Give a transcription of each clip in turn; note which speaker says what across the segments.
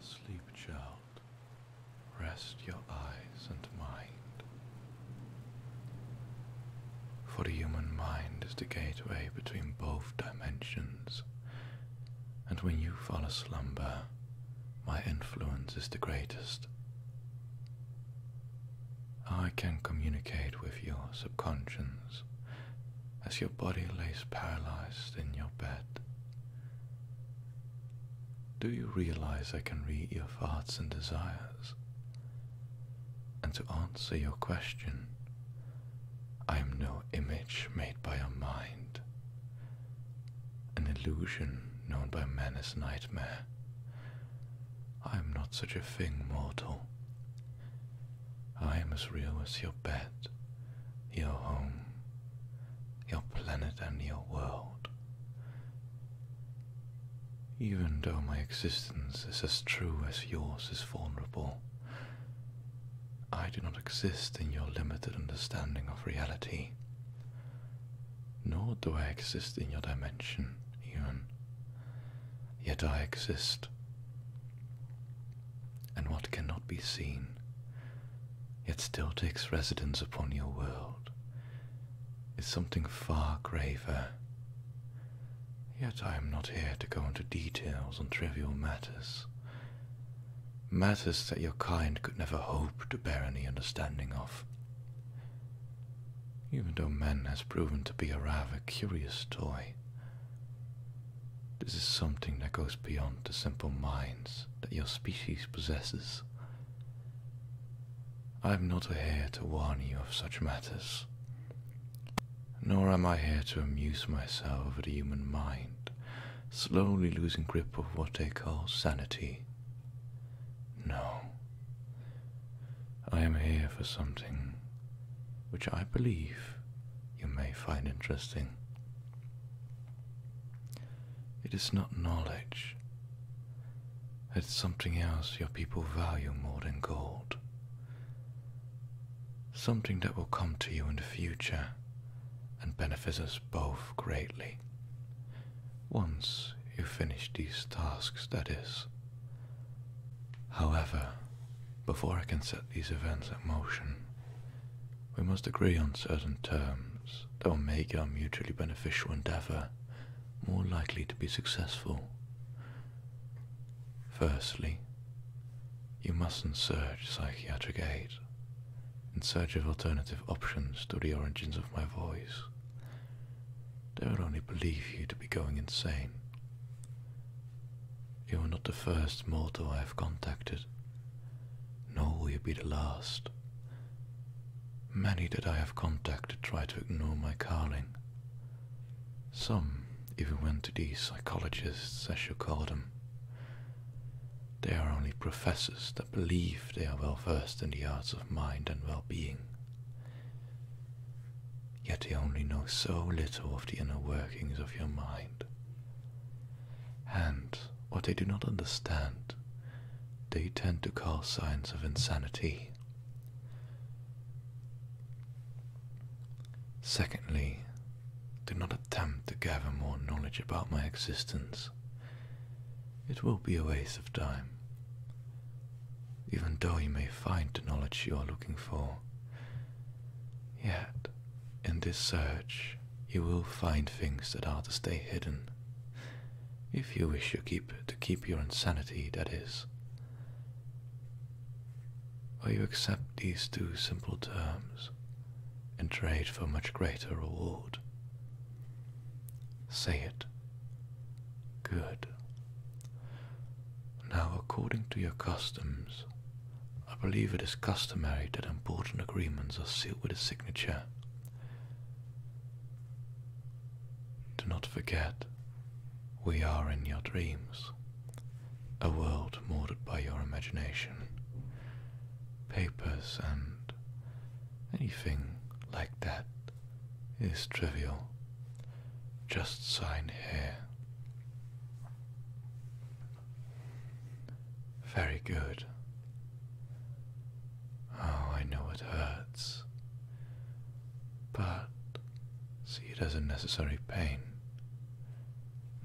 Speaker 1: Sleep, child. Rest your eyes and mind. For the human mind is the gateway between both dimensions, and when you fall asleep, my influence is the greatest. I can communicate with your subconscious as your body lays paralyzed in your bed. Do you realize I can read your thoughts and desires? And to answer your question, I am no image made by your mind, an illusion known by men as nightmare, I am not such a thing, mortal. I am as real as your bed, your home, your planet, and your world. Even though my existence is as true as yours is vulnerable, I do not exist in your limited understanding of reality. Nor do I exist in your dimension, even. Yet I exist. And what cannot be seen, yet still takes residence upon your world, is something far graver. Yet I am not here to go into details on trivial matters. Matters that your kind could never hope to bear any understanding of. Even though man has proven to be a rather curious toy, this is something that goes beyond the simple minds that your species possesses. I am not here to warn you of such matters, nor am I here to amuse myself over the human mind, slowly losing grip of what they call sanity. No. I am here for something which I believe you may find interesting. It is not knowledge. It's something else your people value more than gold. Something that will come to you in the future and benefit us both greatly. Once you finish these tasks, that is. However, before I can set these events in motion, we must agree on certain terms that will make our mutually beneficial endeavor more likely to be successful. Firstly, you mustn't search psychiatric aid in search of alternative options to the origins of my voice. They would only believe you to be going insane. You are not the first mortal I have contacted, nor will you be the last. Many that I have contacted try to ignore my calling. Some even went to these psychologists, as you call them. They are only professors that believe they are well versed in the arts of mind and well being. Yet they only know so little of the inner workings of your mind. And what they do not understand, they tend to call signs of insanity. Secondly, do not attempt to gather more knowledge about my existence. It will be a waste of time. Even though you may find the knowledge you are looking for, yet in this search you will find things that are to stay hidden. If you wish to keep to keep your insanity, that is. Will you accept these two simple terms? and trade for much greater reward. Say it. Good. Now, according to your customs, I believe it is customary that important agreements are sealed with a signature. Do not forget, we are in your dreams, a world molded by your imagination papers and anything like that is trivial. Just sign here. Very good. Oh, I know it hurts. But see it as a necessary pain.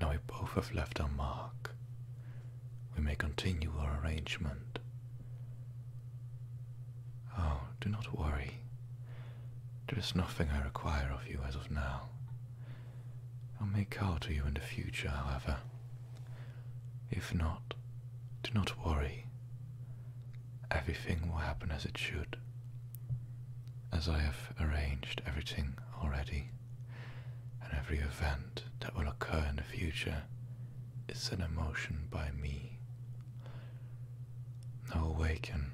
Speaker 1: Now we both have left our mark. We may continue our arrangement. Oh, do not worry. There is nothing I require of you as of now. i may call to you in the future, however. If not, do not worry. Everything will happen as it should, as I have arranged everything already and every event that will occur in the future is an emotion by me. Now awaken.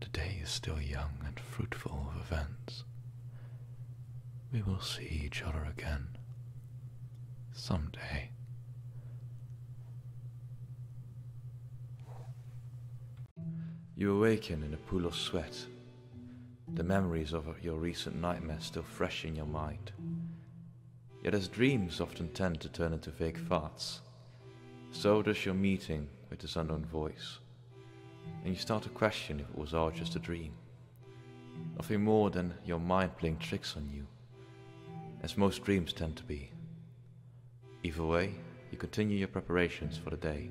Speaker 1: The day is still young and fruitful of events. We will see each other again someday. You awaken in a pool of sweat the memories of your recent nightmare still fresh in your mind. Yet as dreams often tend to turn into vague thoughts, so does your meeting with this unknown voice. And you start to question if it was all just a dream. Nothing more than your mind playing tricks on you, as most dreams tend to be. Either way, you continue your preparations for the day.